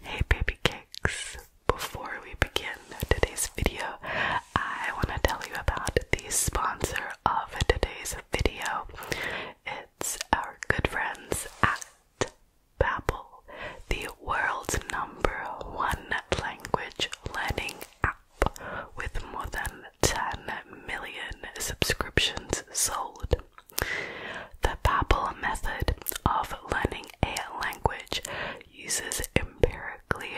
Hey baby cakes! Before we begin today's video, I want to tell you about the sponsor of today's video. It's our good friends at Babbel, the world's number one language learning app with more than 10 million subscriptions sold. The Babbel method of learning a language uses empirically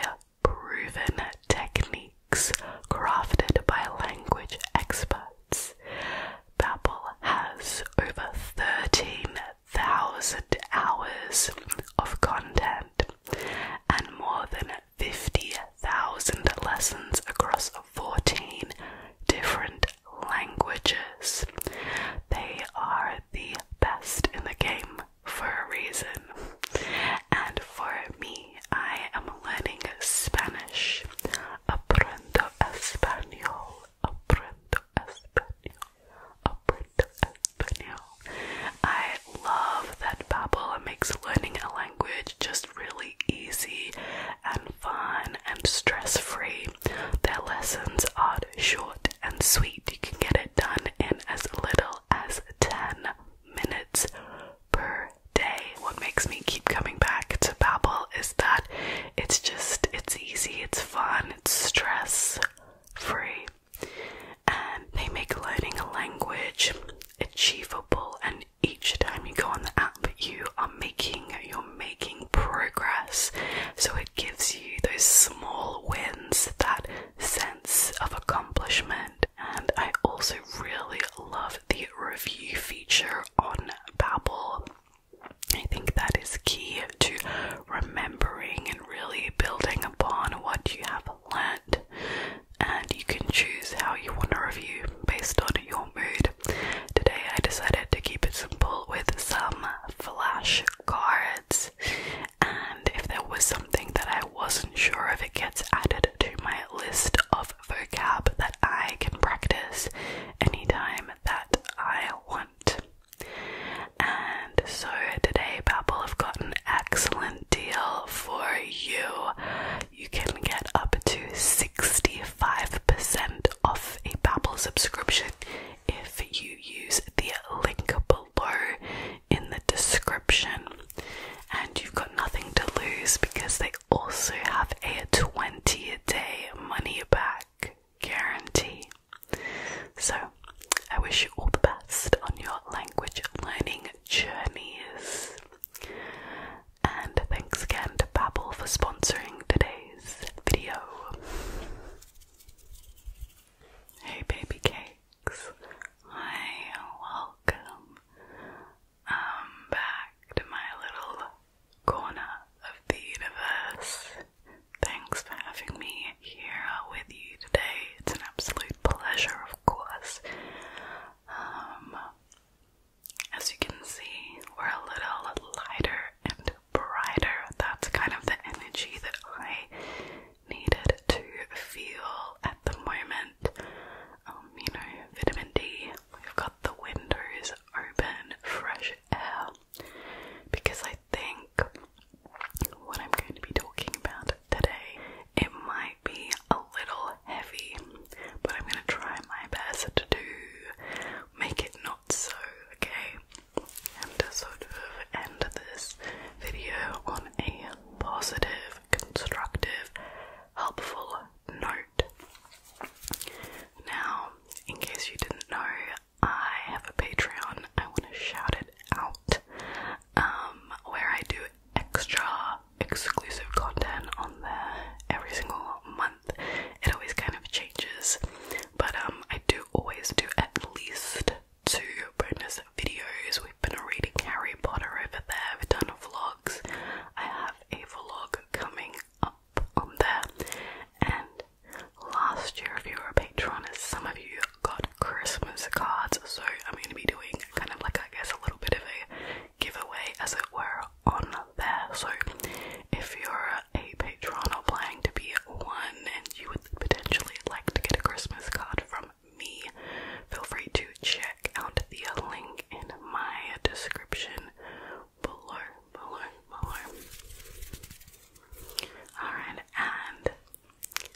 proven techniques crafted by language experts. Babbel has over 13,000 hours of content and more than 50,000 lessons across 14 different languages. They are are the best in the game for a reason. And for me, I am learning Spanish. Aprendo español. Aprendo español. Aprendo español. I love that Babbel makes learning a language just really easy and fun and stress free. Their lessons are short and sweet. You can get it done in as little as 10 minutes per day. What makes me keep coming back to Babbel is that it's just it's easy, it's fun, it's stress free. And they make learning a language achievable and each time you go on the app you are making your making progress. So it gives you those small wins, that sense of accomplishment. And I also really love the review feature on Babbel. I think that is key to remembering and really building upon what you have learned. And you can choose how you want to review based on your mood. Today I decided to keep it simple with some flash cards, and if there was something that I wasn't sure if it gets added to my list of vocab that I can practice anytime that I want. And so today, Babbel have got an excellent deal for you. You can get up to 65% off a Babbel subscription if you use the link below in the description. And you've got nothing to lose because they also have a 20 day money back guarantee. So, I wish you all the best on your language learning journeys. And thanks again to Babbel for sponsoring today's video. Hey baby cakes. Hi, welcome. Um, back to my little corner of the universe. Thanks for having me here with you today. It's an absolute pleasure, of course. Um, as you can see, we're a little lighter and brighter. That's kind of the energy that I needed to feel at the moment. Um, you know, vitamin D, we've got the windows open, fresh air, because I think what I'm going to be talking about today, it might be a little heavy, but I'm going to try my best to do, make it not so, okay? and to sort of end this video on a positive, constructive, helpful note. Now, in case you didn't know, I have a Patreon. I want to shout it out, um, where I do extra exclusive content on there every single month. It always kind of changes, but um, I do always do at least two bonus videos. We've been reading Harry Potter over there, we've done vlogs. I have a vlog coming up on there. And last year, if you were a patron, some of you got Christmas cards, so I'm going to be doing kind of like, I guess, a little bit of a giveaway, as it were, on there. So if you're a patron or planning to be one and you would potentially like to get a Christmas card from me, feel free to check out the link in my description below, below, below. Alright, and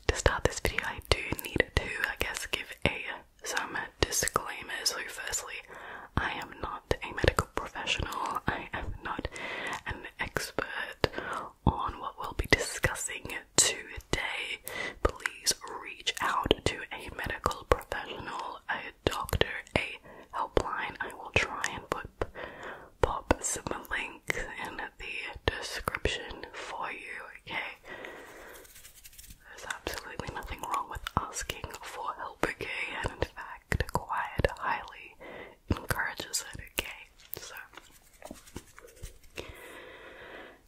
to start this video, I do need to, I guess, give a some disclaimers. So, firstly, I am not a medical professional. I am not an expert on what we'll be discussing today, please reach out to a medical professional, a doctor, a helpline. I will try and put, pop some links in the description for you, okay? There's absolutely nothing wrong with asking for help, okay? And in fact, quiet highly encourages it, okay? So,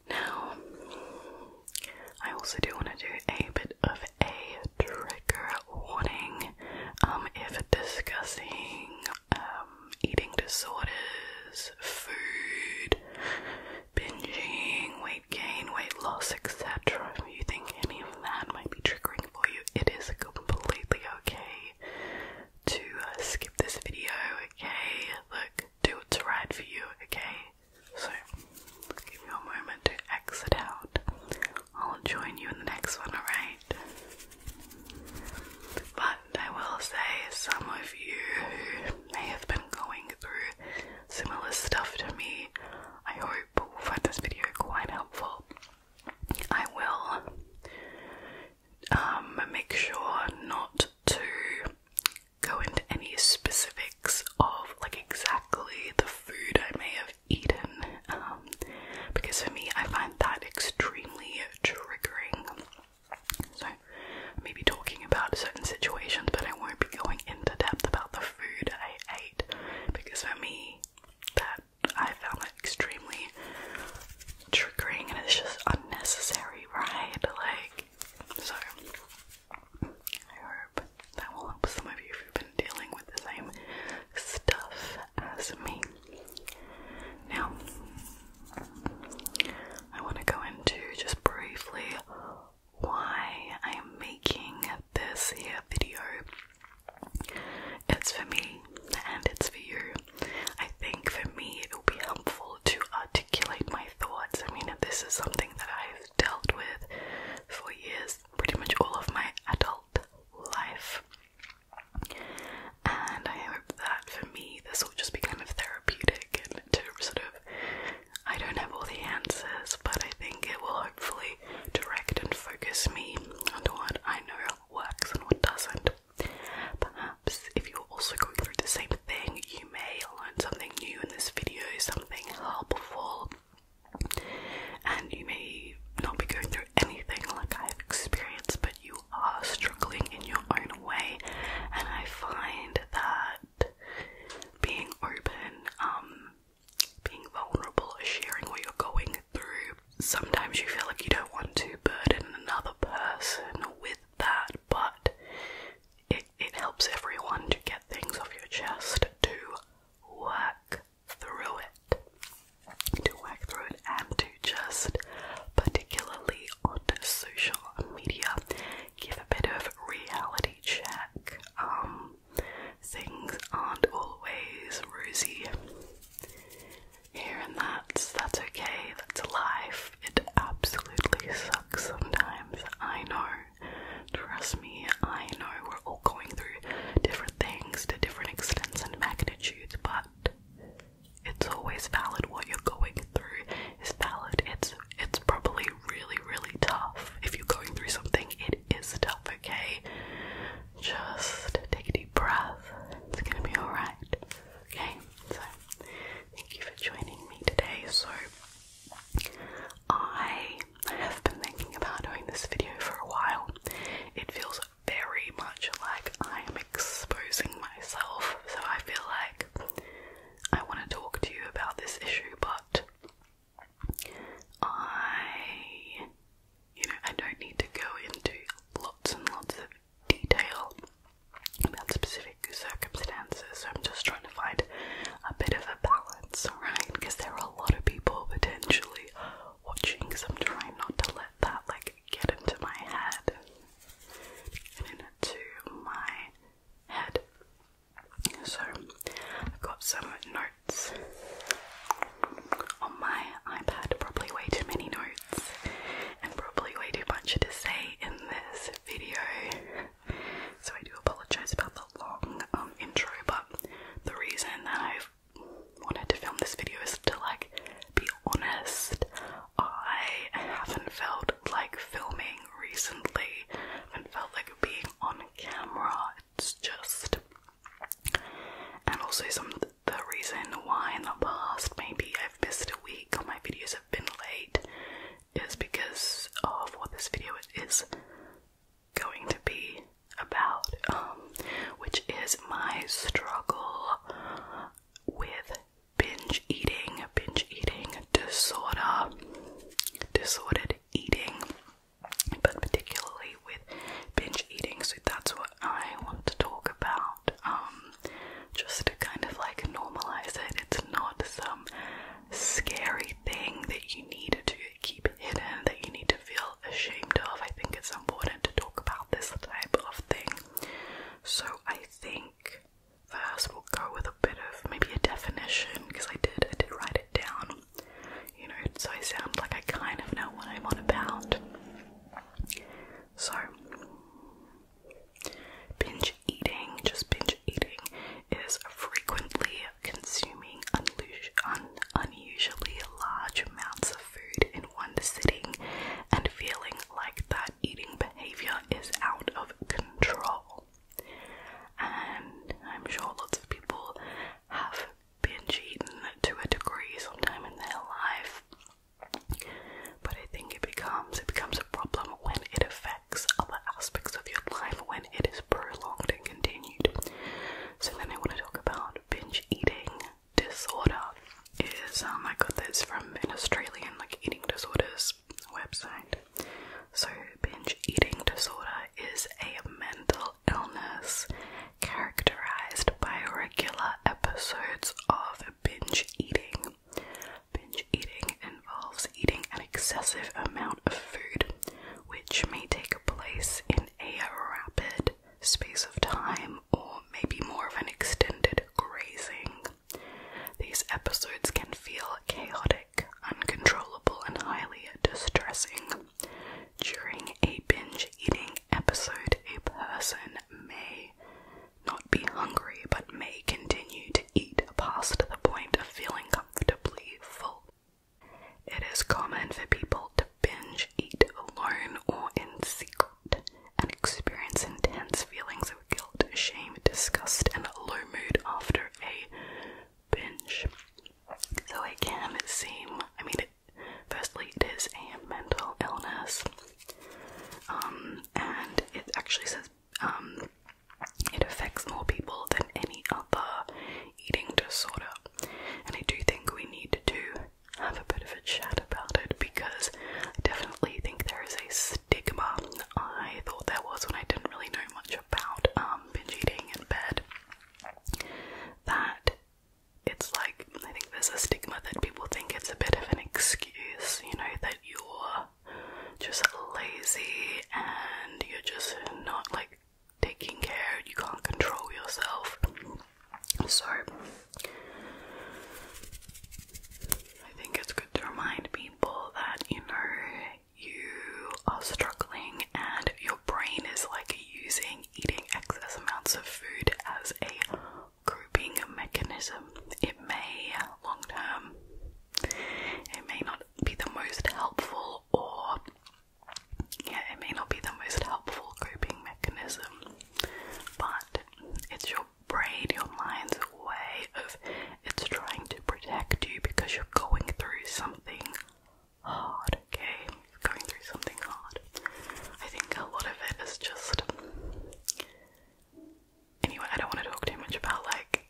now, I also do want to do a bit of a trigger warning um, if discussing um, eating disorders, food, binging, weight gain, weight loss, etc. If you think any of that might be triggering for you, it is completely okay to uh, skip this video, okay? Look, do what's right for you, okay? So, give me a moment to exit out. I'll join you in the next one, alright? But I will say, some of you may have been going through similar stuff to me, I hope will find this video quite helpful. I will um, make sure not to go into any specifics of like exactly the food I may have eaten um, because for me I find that extremely triggering. So maybe talking about certain situations but I won't be going into depth about the food I ate because for me that I found that extremely triggering and it's just unnecessary, right? Like, so I hope that will help some of you who've been dealing with the same stuff as me. Now, I want to go into just briefly why I am making this video. It's for me and it's for you. I think for me it will be helpful to articulate my thoughts. I mean, this is something that I've dealt with for years, pretty much all of my adult life. And I hope that for me this will just be kind of therapeutic and to sort of I don't have all the answers, but I think it will hopefully direct and focus me on what I know works and what doesn't. Perhaps if you're also going through the same thing, you may learn something new in this video, something helpful, and you may not be going through anything like I've experienced, but you are struggling in your own way, and I find that being open, um, being vulnerable, sharing what you're going through sometimes you feel like you don't want to burden another person with that, but it, it helps everyone to get things off your chest to work through it. To work through it and to just, particularly on social media, give a bit of reality check. Um, things aren't always rosy here and that's that's okay, that's life. It absolutely sucks sometimes. I know. Trust me, I know we're all going through different things to different extents and magnitudes, but it's always valid what you're going through is valid. It's it's probably really, really tough. If you're going through something, it is tough, okay? Just take a deep breath. It's gonna be alright. Okay? So, thank you for joining me today. So, I have been thinking about doing this video for a while. It feels very much like I am exposing myself, so I feel like I want to talk to you about this issue, but I, you know, I don't need to go into lots and lots of detail about specific circumstances. So I'm just trying to find a bit of a balance, right? Because there are a lot of people potentially watching, so I'm trying not to let that like get into my head, into my head. So I've got some notes on my iPad. Probably way too many notes and probably way too much to say in this video. So I do apologize about the long um, intro, but the reason that I've wanted to film this video is to like be honest. I haven't felt like filming recently. I haven't felt like being on camera. It's just and also something the reason why in the past maybe I've missed a week or my videos have been late is because of what this video is going to be about, um, which is my struggle with binge eating, binge eating disorder, disordered eating, but particularly with binge eating. So that's what I want to talk about um, just kind of like normalize it. It's not some scary thing that you need to keep hidden, that you need to feel ashamed of. I think it's important to talk about this type of thing. So I think first we'll go with a bit of maybe a definition because I did I did write it down. You know, so I sound like I kind of know what I'm on about. So Binge eating, just binge eating, is frequently consuming unusually large amounts of food in one sitting and feeling like that eating behavior is out of control. And I'm sure lots of people have binge eaten to a degree sometime in their life. But I think it becomes it becomes a problem when it affects other aspects of your life when it is prolonged and continued. So then I want to talk about binge eating disorder. Is um I got this from an Australian like eating disorders website. So binge eating disorder is a mental illness characterized by regular episodes of binge eating. Binge eating involves eating an excessive amount of food, which may take place in a rapid space of time or maybe more of an extended grazing. These episodes can feel chaotic, uncontrollable, and highly distressing. During a binge eating episode, a person may not be hungry but may continue to eat past the point of feeling comfortably full. It is common for people to binge eat alone or in secret and experience intense feelings of guilt, shame, disgust, and low mood after a binge. So it can seem, I mean, it, firstly, it is a mental illness, um, and it actually says um, it affects more people than any other eating disorder. And I do think we need to have a bit of a chat about it because I definitely think there is a stigma. I thought there was when I didn't really know much about um, binge eating in bed. That it's like, I think there's a stigma that people think it's a bit of an excuse, you know, that you're just lazy and you're just not like taking care, you can't control yourself. So, I think it's good to remind people that you know you are struggling and your brain is like using eating excess amounts of food as a coping mechanism. It may, long term, it may not be the most helpful, or yeah, it may not be the most helpful coping mechanism, but it's your brain, your mind's way of it's trying to protect you because you're going through something hard, okay? You're going through something hard. I think a lot of it is just anyway, I don't want to talk too much about like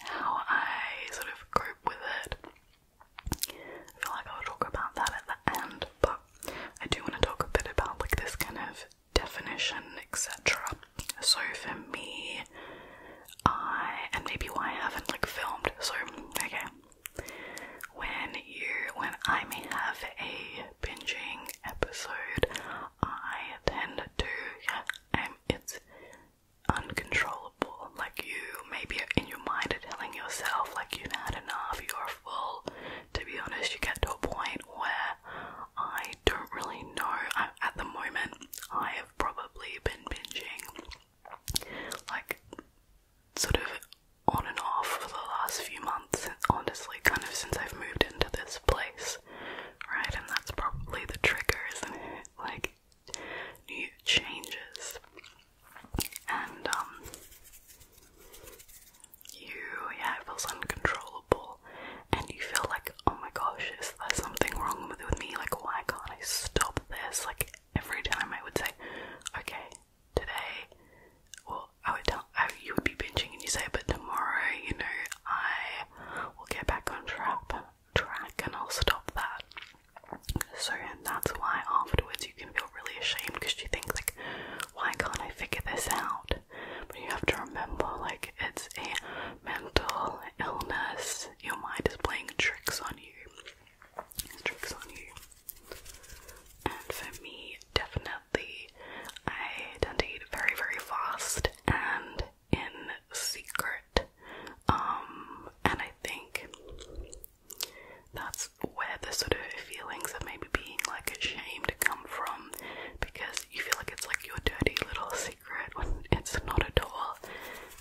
how I sort of cope with it. I feel like I'll talk about that at the end, but I do want to talk a bit about like this kind of definition, etc. So for me, I and maybe why I haven't like filmed. So okay, when you when I may have a binging episode, I tend to, yeah, um, it's uncontrollable. Like you, maybe in your mind are telling yourself like you've had enough, you're full. To be honest, you get to a point where I don't really know. at the moment, I have probably been binging like sort of on and off for the last few months, honestly, kind of since I've moved into this place, right? And that's probably the triggers, is Like, new changes. And, um, you, yeah, it feels uncontrollable. And you feel like, oh my gosh, is there something wrong with, with me? Like, why can't I stop this? Like, every time I would say, okay, today, or I would tell you would be binging and you say, but tomorrow, you know, I will get back on track, track, and I'll stop that. So and that's why afterwards you can feel really ashamed because you think like, why can't I figure this out? But you have to remember like it's a mental illness. Your mind is playing tricks on you. tricks on you. And for me, definitely, I tend to eat very, very fast and in secret. Um, and I think that's where the sort of feelings of maybe being like ashamed come from because you feel like it's like your dirty little secret when it's not at all.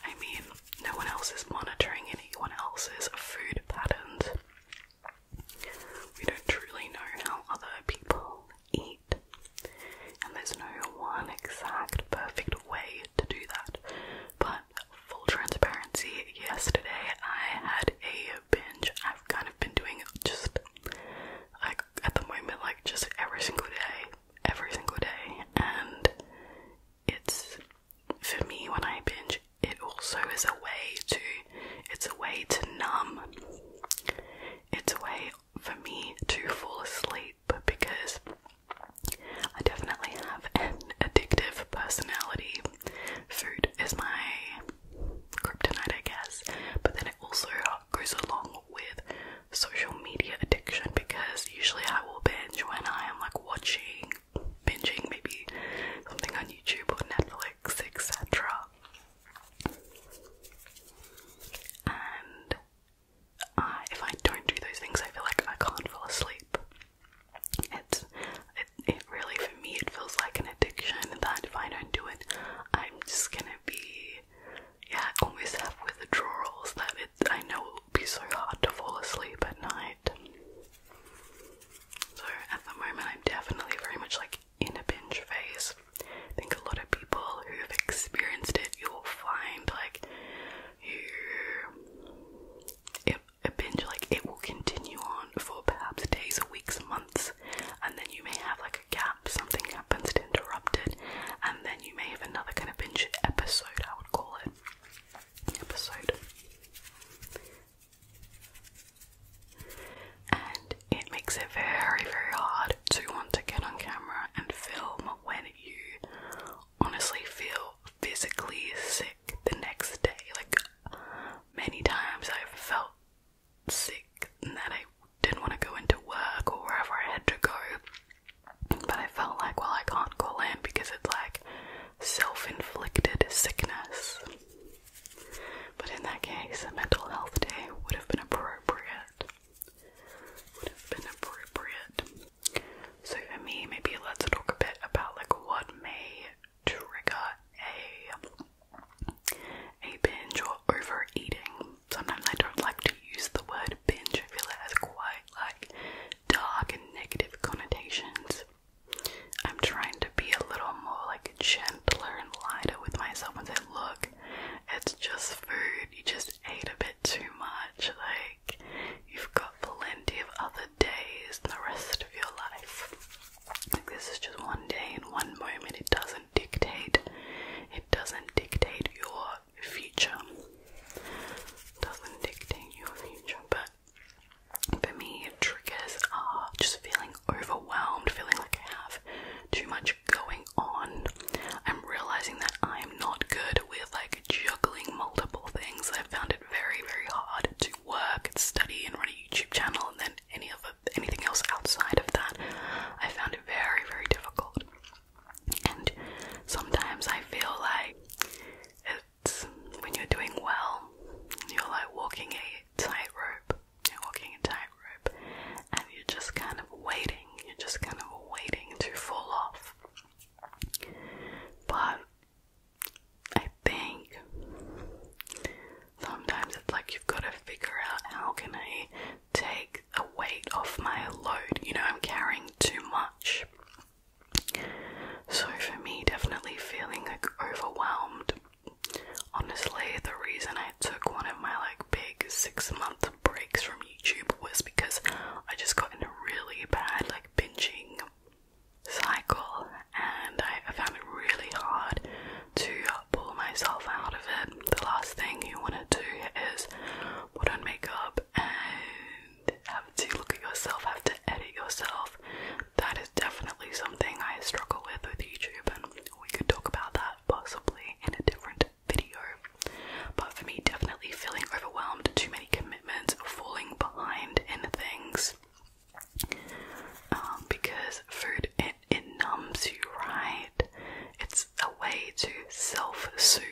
I mean, no one else is monitoring anyone else's food patterns. We don't truly know how other people eat. And there's no one exact perfect way to do that. But full transparency, yesterday I had a binge. I've kind of been doing just like at the moment, like just every single day, every single day. And it's for me when I binge, it also is a way to, it's a way to numb. It's a way for me to fall asleep because I definitely have an addictive personality. Food is my kryptonite, I guess, but then it also goes along with social media addiction because usually I will binge when I am like watching, binging maybe something on YouTube or Netflix, etc. And if I don't do those things, I feel like I can't fall asleep. It's it, it really for me it feels like an addiction that if I don't do it, I'm just gonna be yeah always have withdrawals that it I know it will be so hard to fall asleep at night. So at the moment, I'm definitely very much like in a binge phase. I think a lot of people who've experienced it, you'll find like you, it, a binge, like it will continue on for perhaps days or weeks, months, and then you may have like a gap, something happens to interrupt it, and then you may have another kind of binge episode, I would call it. Episode. And it makes it very, very hard to want to get on camera and film when you honestly feel physically sick the next day. Like, many times I've felt sick and that I didn't want to go into work or wherever I had to go, but I felt like, well, I can't call in because it's like self inflicted sickness. But in that case, a mental health day would have been appropriate would have been appropriate. So for me, maybe let's talk a bit about like what may trigger a a binge or overeating. Sometimes I don't like to use the word binge. I feel it has quite like dark and negative connotations. I'm trying to be a little more like chill gentler and lighter with myself and say, look, it's just food. You just ate a bit too much. Like, you've got plenty of other days in the rest of your life. Like, this is just one day and one moment. It doesn't dictate. It doesn't dictate your future. doesn't dictate your future, but for me, triggers are just feeling overwhelmed, feeling like I have too much going on. I'm realizing that I'm not good with like juggling multiple things. I found it very, very hard to work and study and run a YouTube channel and then any other anything else outside of that. I found it very, very difficult. And sometimes I feel like it's when you're doing well, you're like walking a tightrope you're walking a tightrope and you're just kind of waiting, you're just kind of waiting to fall off. But I think sometimes it's like you've got to figure out how can I take the weight off my load. You know, I'm carrying too much. So for me, definitely feeling like overwhelmed. Honestly, the reason I I took one of my like big six month breaks from YouTube was because I just got in a really bad like binging cycle and I, I found it really hard to pull myself out of it. The last thing you want to do is put on makeup and have to look at yourself, have to edit yourself. That is definitely something I struggle with with YouTube, and we could talk about that possibly in a different video. But for me, definitely feeling overwhelmed, too many commitments, falling behind in things. Um, because food, it, it numbs you, right? It's a way to self soothe.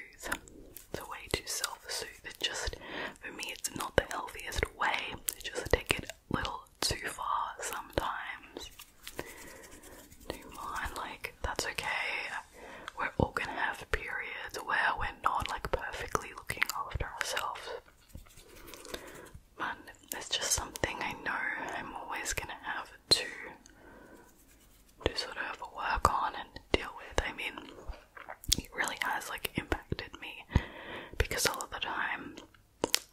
the way to self soothe. It just, for me, it's not the healthiest way. It just take it a little too far sometimes do mind, like, that's okay. We're all gonna have periods where we're not like perfectly looking after ourselves. But it's just something I know I'm always gonna have to to sort of work on and deal with. I mean, it really has like impacted me because all of the time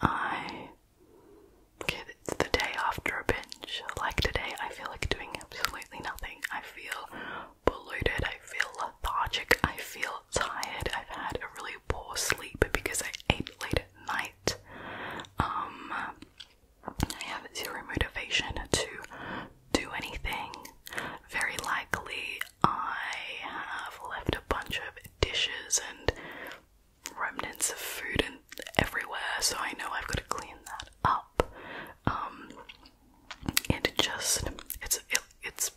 I Kid, it's the day after a binge. Like today, I feel like doing absolutely nothing. I feel bloated, I feel lethargic, I feel tired. I've had a really poor sleep because I ate late at night. Um, I have zero motivation to do anything. Very likely, I have left a bunch of dishes and remnants of food and everywhere, so I know I've got to clean that up. Um, and it just it's it's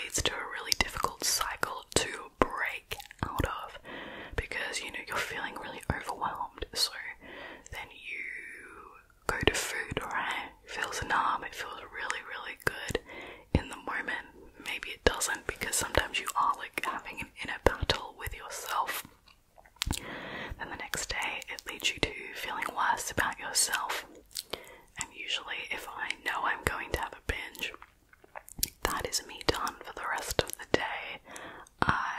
leads to a really difficult cycle to break out of because you know you're feeling really overwhelmed, so then you go to food, right? It feels numb, it feels really, really good in the moment. Maybe it doesn't because sometimes you are like having an inner battle with yourself then the next day, it leads you to feeling worse about yourself. And usually, if I know I'm going to have a binge, that is me done for the rest of the day. I.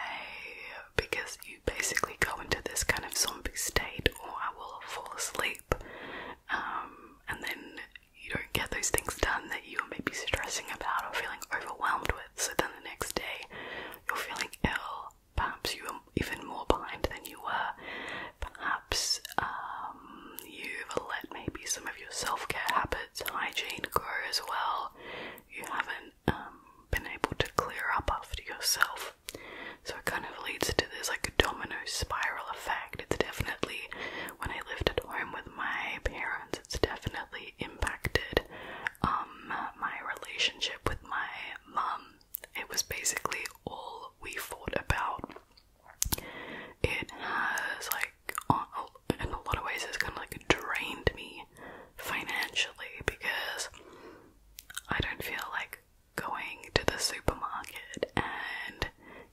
because you basically go into this kind of zombie state, or I will fall asleep. Um, and then you don't get those things done that you are maybe stressing about or feeling overwhelmed so then the next day, you're feeling ill. Perhaps you are even more behind than you were. Perhaps um, you've let maybe some of your self care habits, hygiene grow as well. You haven't um, been able to clear up after yourself. So it kind of leads to this like a domino spiral effect. It's definitely, when I lived at home with my parents, it's definitely impacted um, my relationship with my mom It was basically all we thought about. It has, like, in a lot of ways, it's kind of like drained me financially because I don't feel like going to the supermarket and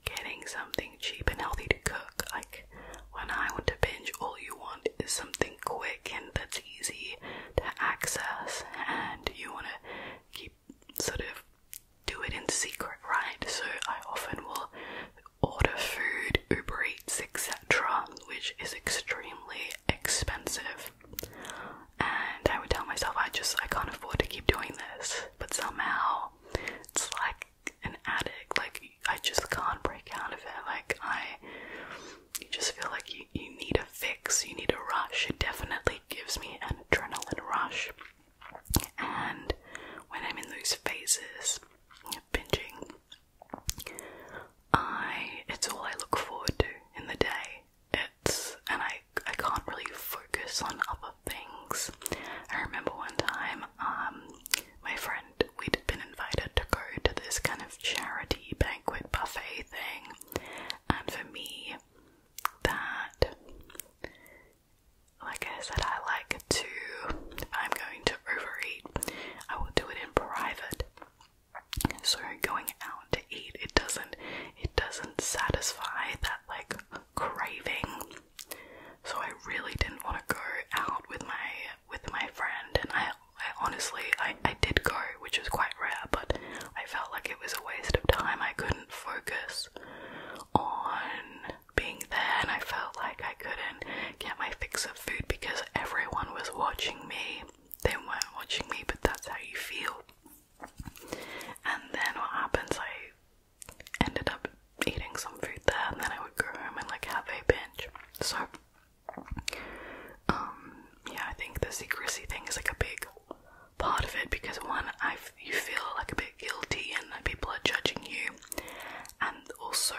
getting something cheap and healthy to cook. Like, when I want to binge, all you want is something quick and that's easy to access, and you want to keep sort of do it in secret, right? So I often will order food, Uber Eats, etc., which is extremely expensive. And I would tell myself I just I can't afford to keep doing this, but somehow it's like an addict. Like I just can't break out of it. Like I you just feel like you, you need a fix, you need a rush. It definitely gives me an adrenaline rush. And when I'm in those phases of binging, I it's all I look forward to in the day. It's and I I can't really focus on other things. I remember one time um my friend we'd been invited to go to this kind of charity banquet buffet thing. And for me, that, like I said, I like to, if I'm going to overeat, I will do it in private. So going out to eat, it doesn't, it doesn't satisfy that like craving. So I really didn't want to go out with my with my friend, and I, I honestly, I, I did go, which was quite rare, but I felt like it was a waste of time. I couldn't focus on being there, and I felt like I couldn't get my fix of food because everyone was watching me. They weren't watching me, but that's how you feel. And then what happens? I ended up eating some food there, and then I would go and like have a binge. So um, yeah, I think the secrecy thing is like a big part of it because one, I you feel like a bit guilty and that people are judging you, and also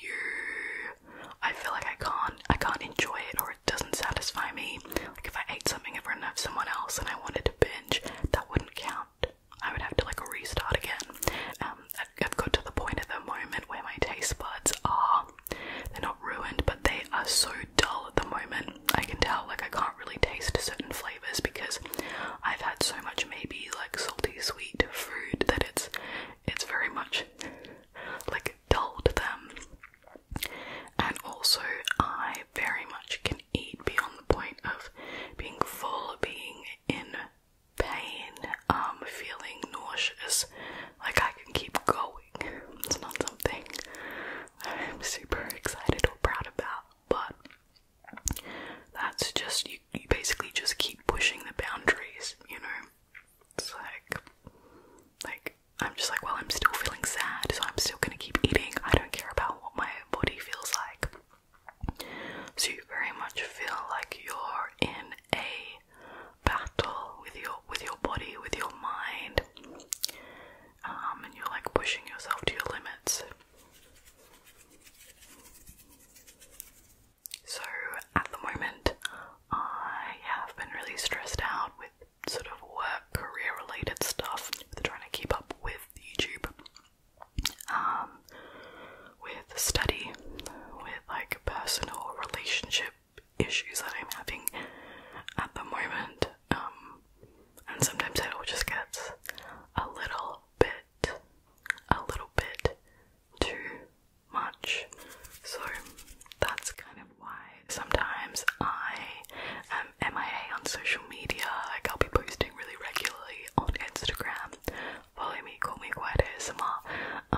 you, I feel like I can't, I can't enjoy it or it doesn't satisfy me. Like if I ate something in front of someone else and I wanted to binge, that wouldn't count. I would have to like restart again. Um, I've got to the point at the moment where my taste buds are they're not ruined, but they are so dull at the moment. I can tell, like, I can't really taste certain flavors because I've had so much, maybe like salty, sweet food that it's it's very much like dull to them. And also, I very much can eat beyond the point of being full, being in pain, um, feeling nauseous, like, I can keep going. It's not something I'm super excited or proud about, but that's just, you, you basically just keep pushing the boundaries, you know? It's like, like, I'm just like, well, I'm still feeling sad, so I'm still gonna keep eating. I don't care about what my body feels like. So, you very much feel like you're in a battle with your with your body, with your mind, um, and you're like pushing yourself to your limits. So at the moment, I have been really stressed out with sort of work, career-related stuff, trying to keep up with YouTube, um, with study, with like personal relationship issues that I'm having at the moment. Um, and sometimes it just gets a little bit, a little bit too much. So that's kind of why sometimes I am MIA on social media. Like I'll be posting really regularly on Instagram. Follow me, call me quite ASMR.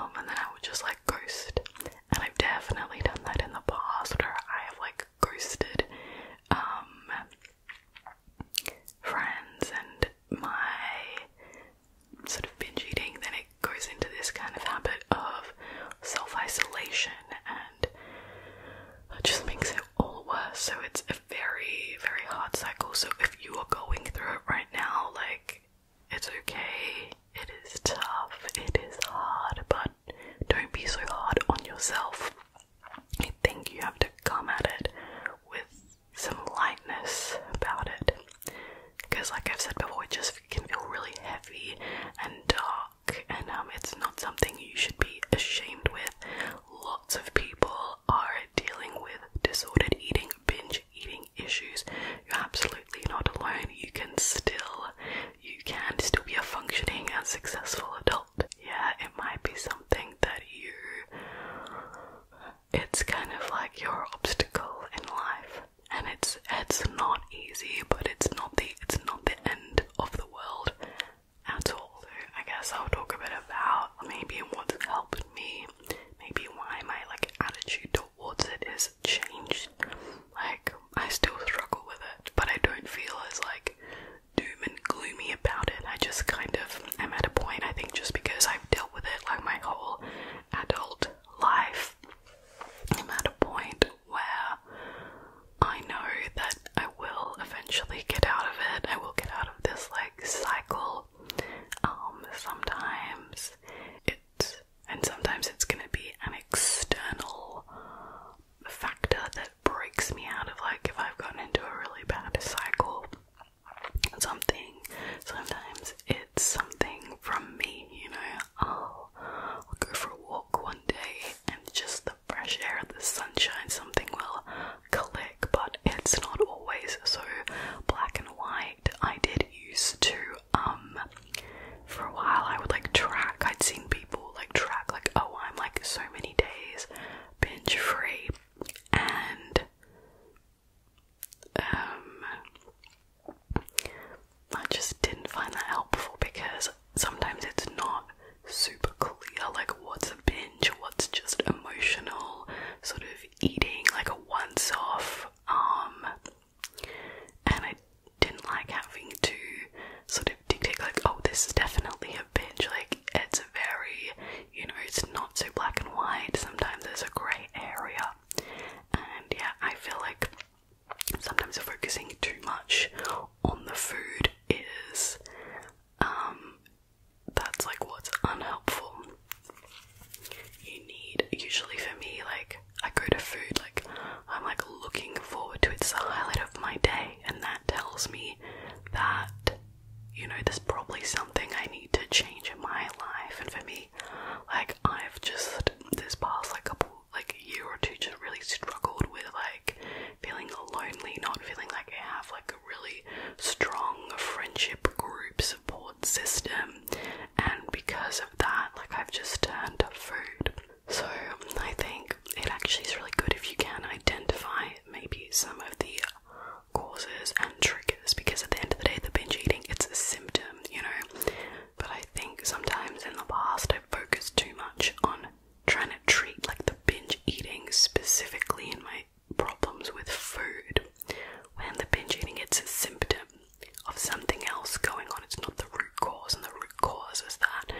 Um, and then I would just like Ghosted, and I've definitely done that in the past where I have like ghosted um, friends and my sort of binge eating then it goes into this kind of habit of self-isolation and that just makes it all worse so it's a very very hard cycle so if you are going through it right now like it's okay. It is tough. It is hard, but don't be so hard on yourself. I think you have to come at it with some lightness about it. Because, like I've said before, it just can feel really heavy and dark, and um, it's not something you should be ashamed with. Lots of people are dealing with disordered eating, binge eating issues, you're absolutely not alone. You can still, you can still be a functioning and successful adult. Yeah, it might be something that you, it's kind of like your obstacle in life, and it's it's not easy, but it's not the it's not the end of the world at all. I guess I'll talk a bit about maybe what's helped me, maybe why my like attitude towards it is changed. Like I still struggle with it, but I don't feel as like doom and gloomy about it. I just kind of i am at a point I think just because I've dealt with it like my whole adult life, I'm at a point where I know that I will eventually get out of it. I will get out of this like cycle. Um sometimes and sometimes it's going to be an external factor that breaks me out of like if I've gotten into a really bad cycle something sometimes it's something from me you know I'll go for a walk one day and just the fresh air the sunshine something will click but it's not always so black and white I did used to um, for a while I would like track I'd seen people like track like oh I'm like so many days binge free and um, I just didn't find that helpful because sometimes it's not super clear like what's a binge what's just emotional sort of eating like a once off um, and I didn't like having to sort of dictate like, oh, this is definitely a binge. Like it's very, you know, it's not so black and white. Sometimes there's a grey area, and yeah, I feel like sometimes focusing too much on the food is, um, that's like what's unhelpful. You need usually for me like I go to food like I'm like looking forward to it. It's the highlight of my day, and that tells me that you know there's probably something I need to change in my life. And for me, like I've just this past like a like year or two just really struggled with like feeling lonely, not feeling like I have like a really strong friendship group support system, and because of that, like I've just turned to food. So I think it actually is really good if you can identify maybe some of the causes and triggers because at the end of the day the binge eating it's a symptom, you know. But I think sometimes in the past i focused too much on trying to treat like the binge eating specifically in my problems with food. When the binge eating it's a symptom, of something else going on. It's not the root cause, and the root cause is that,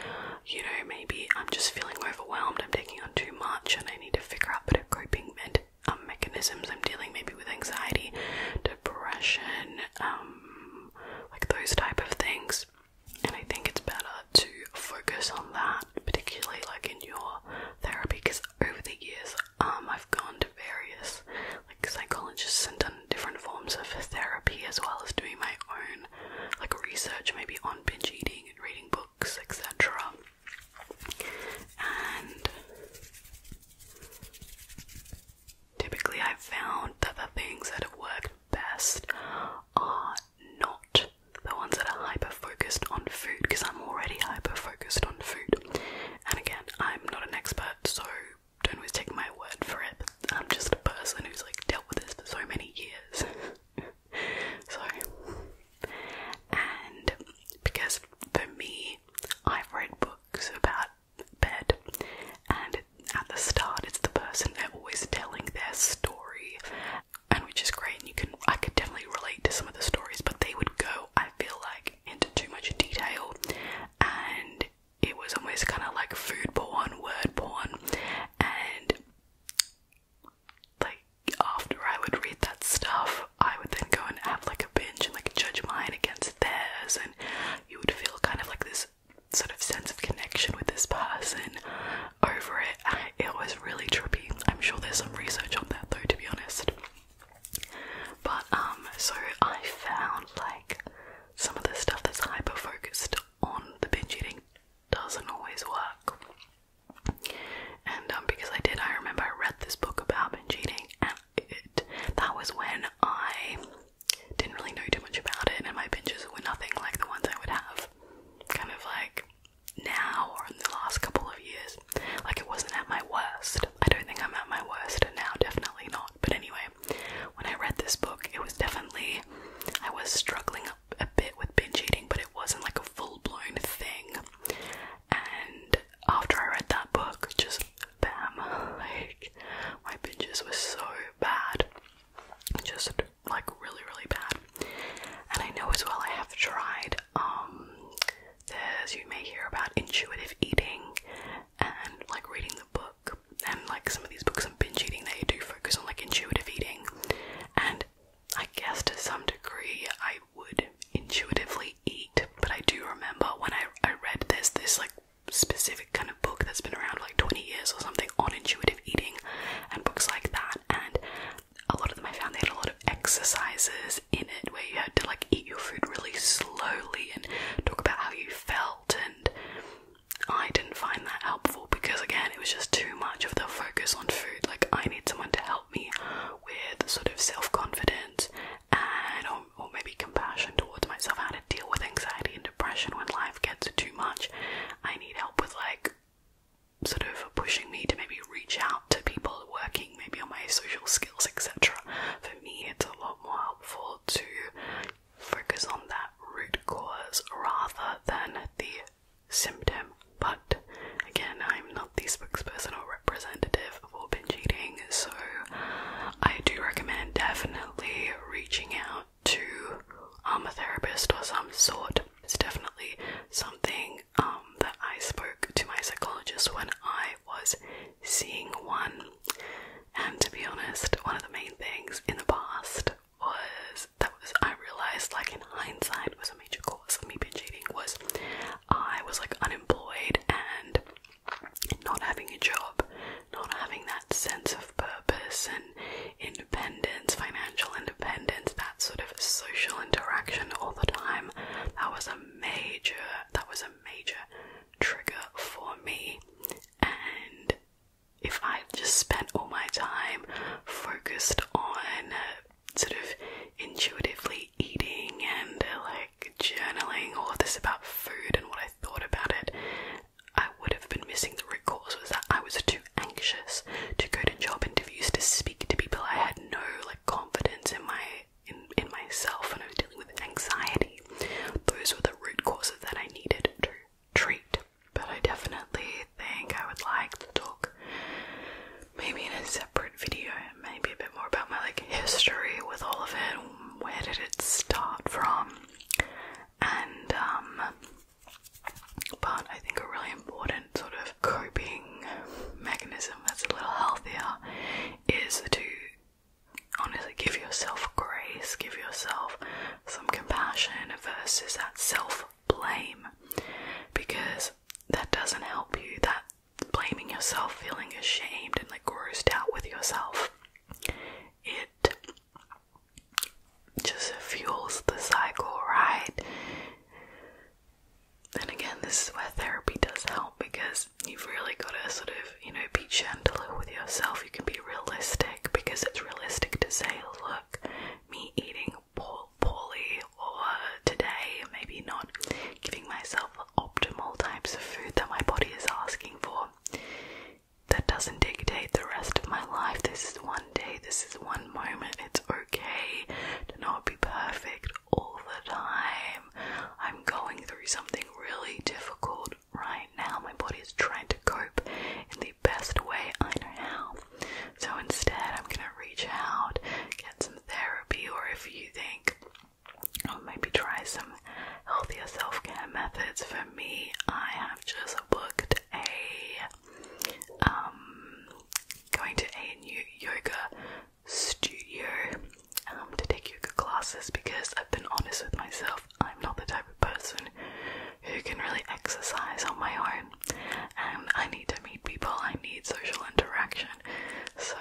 you know, maybe I'm just feeling overwhelmed, I'm taking on too much, and I need to figure out better coping med um, mechanisms. I'm dealing maybe with anxiety, depression, um, like those type of things. And I think it's better to focus on that, particularly like in your therapy, because over the years, um, I've gone to various psychologists and done different forms of therapy as well as doing my own like research maybe on binge eating and reading books etc and typically I've found that the things that have worked best are not the ones that are hyper focused on food because I'm already hyper focused on food and again I'm not an expert so don't always take my word for it, I'm just a person who's like dealt with this for so many years. so, and because for me, I've read books about bed, and at the start, it's the person they're always telling their story, and which is great. And you can, I could definitely relate to some of the stories, but they would go, I feel like, into too much detail, and it was almost kind of like food porn, word porn, and like after I would read that stuff, I would then go and have like a binge and like judge mine against theirs, and you would feel kind of like this sort of sense of connection with this person over it. it was really trippy. I'm sure there's some research on that though, to be honest. But um, so I found like some of the stuff that's hyper focused on the binge eating doesn't always work. And um, because I did, I remember I read this book about binge eating, and it, that was when I didn't really know too much about it, and my binges were nothing like the ones I would have kind of like now or in the last couple of years. Like, it wasn't at my worst. I don't think I'm at my worst now, definitely not. But anyway, when I read this book, it was definitely I was struggling a bit with binge eating, but it wasn't like a full-blown thing. And after I read that book, just bam, like my binges were so bad, just like really, really bad. And I know as well I have tried. Um, there's you may hear about intuitive eating and like reading the book and like some of these books on binge eating they do focus on like intuitive eating and I guess to some degree I would intuitively eat but I do remember when I, I read this this like specific kind of book that's been around for like 20 years or something on intuitive eating and books like that and a lot of them I found they had a lot of exercises in it where you had to like eat your food really slowly and talk about how you felt and I didn't find that helpful because, again, it was just too much of the focus on food. Like, I need someone to help me with sort of self confidence and, or, maybe compassion towards myself, how to deal with anxiety and depression when life gets too much. I need help with, like, sort of pushing me to maybe reach out to people working maybe on my social skills, etc. For me, it's a lot more helpful to focus on that root cause rather than the symptom. But again, I'm not the spokesperson or representative for binge eating, so I do recommend definitely reaching out to um, a therapist or some sort. It's definitely something um, that I spoke to my psychologist when I was seeing one. And to be honest, one of the main things in the past was that was I realized like in hindsight was a major cause of me binge eating was I was like unemployed and not having a job, not having that sense of purpose and independence, financial independence, that sort of social interaction all the time. That was a major that was a major trigger for me and if i just spent all my time focused on uh, sort of intuitively eating and uh, like journaling all of this about food and what I thought about it, I would have been missing the root cause was that I was too anxious to go to job interviews to speak to people. I had no like confidence in my in, in myself and I was dealing with anxiety. Those were the root causes that I needed to treat. But I definitely think I would like to talk maybe in a separate video, maybe a bit more about my like history with all of it. Where did it start from? And um but I think a really important sort of coping mechanism that's a little healthier is to honestly give yourself grace, give yourself some compassion versus that self blame because that doesn't help you. That blaming yourself, feeling ashamed, and like grossed out with yourself, it just fuels the cycle, right? And again, this is where therapy does help because you've really got to sort of, you know, be gentle gentle with yourself. You can be realistic because it's realistic to say, look, me eating poor, poorly or today, maybe not giving myself optimal types of food that my body is asking for. That doesn't dictate the rest of my life. This is one day, this is one moment. It's okay to not be perfect all the time. I'm going through something really difficult right now. My body is trying to cope in the best way I know how. So instead, I'm gonna reach out, get some therapy, or if you think, or oh, maybe try some healthier self care methods. For me, I have just booked a um going to a new yoga studio um to take yoga classes because I've been honest with myself, I'm not the type of person who can really exercise on my own. And I need to meet people, I need social interaction. So,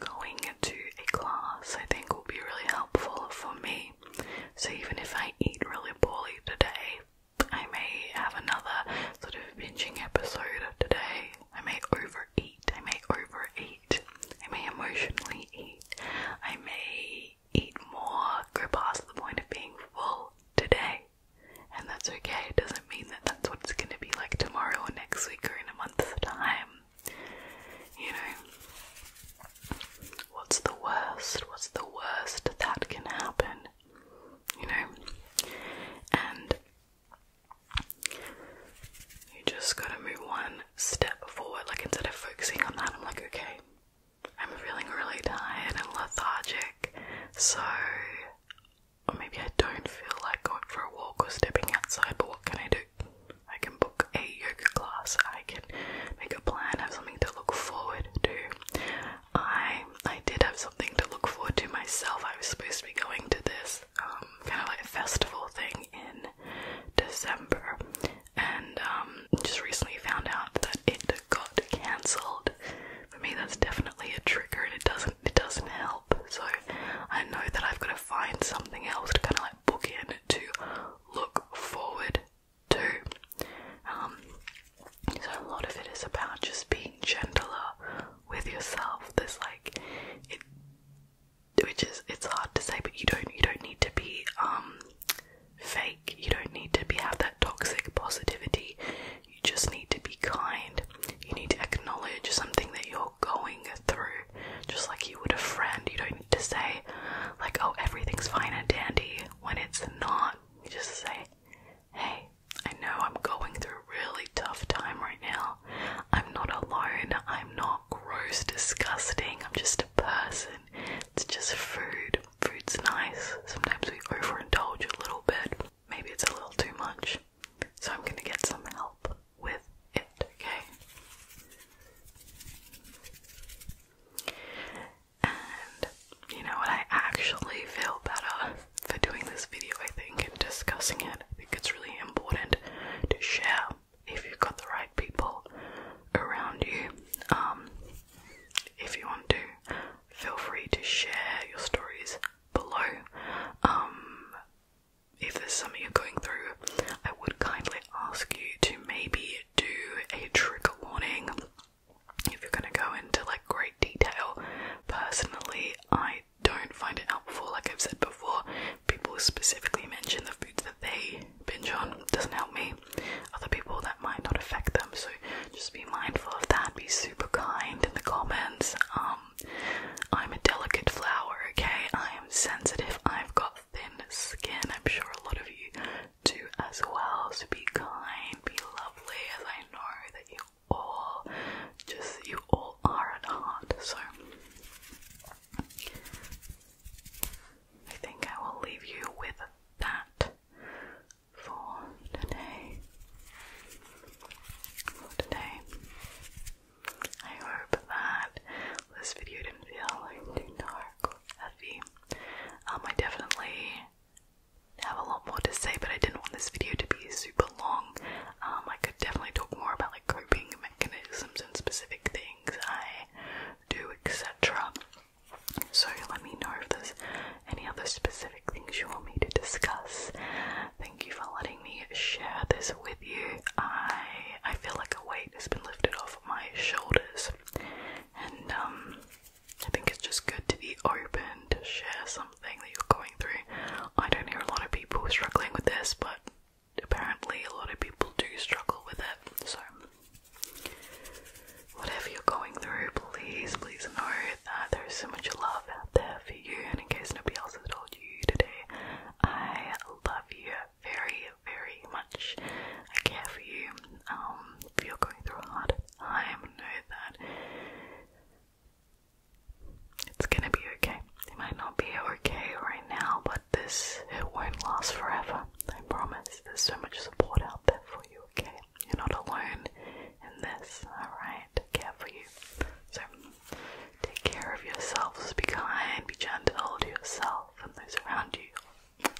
going to a class I think will be really helpful for me. So, even if I eat really poorly today, I may have another sort of binging episode of today. I may overeat, I may overeat, I may emotionally eat, I may eat more, go past the point of being full today. And that's okay. It doesn't mean that that's what it's going to be like tomorrow or next week or in a month's time. You know, what's the worst? What's the worst that can happen? You know? And you just gotta move one step forward. Like, instead of focusing on that, I'm like, okay, I'm feeling really tired and lethargic, so maybe I don't feel like going for a walk or stepping outside, but what can I do? I can book a yoga class, I can make a plan, have something to look forward to. I I did have something to look forward to myself. I was supposed to be going to this um, kind of like festival thing in December and um, just recently found out that it got cancelled. For me, that's definitely a trigger, and it doesn't it doesn't help. So I know that I've got to find something else to kind of like book in to look forward to. Um, so a lot of it is about just being gentler with yourself. There's like it, which is it's hard to say, but you don't you don't need to be um fake. You don't need to be have that toxic positivity. You just need to be kind. You need to acknowledge something that you're going through, just like you would a friend. You don't need to say like, "Oh, everything's fine and dandy," when it's not. You just say, "Hey, I know I'm going through a really tough time right now. I'm not alone. I'm not gross, disgusting. I'm just a person it's just food. Food's nice. Sometimes we overindulge a little bit. Maybe it's a little too much. So I'm gonna get some help with it, okay? And you know what? I actually feel better for doing this video, I think, and discussing it. I think it's really important to share if you've got the right people around you. Um, if you want to, feel free to share your stories below. Um, if there's something you're going through, I would kindly ask you to maybe do a trigger warning if you're going to go into like great detail. Personally, I don't find it helpful, like I've said before. People specifically mention the foods they binge on doesn't help me. Other people that might not affect them, so just be mindful of that. Be super kind in the comments. Um, I'm a delicate flower, okay? I am sensitive. I've got thin skin. I'm sure a lot of you do as well. So be kind, be lovely, as I know that you all just you all are at heart. So. I think I will leave you with that for today. today. I hope that this video didn't feel too dark heavy. Um, I definitely have a lot more to say, but I didn't want this video to be super long. Um, I could definitely talk more about like coping mechanisms and specific things I do, etc. So let me know if there's any other specific things you want me to discuss. Thank you for letting me share this with you. I I feel like a weight has been lifted off my shoulders, and um, I think it's just good to be open to share something that you're going through. I don't hear a lot of people struggling with this, but apparently a lot of people do struggle with it. So Whatever you're going through, please, please know that there is so much love out there for you. And in case nobody else has told you today, I love you very, very much. I care for you. Um, if you're going through a hard time, know that it's gonna be okay. It might not be okay right now, but this it won't last forever. I promise. There's so much support out there for you you, are okay? You're not alone in this, alright? Care for you. So, take care of yourselves, be kind, be gentle to yourself and those around you.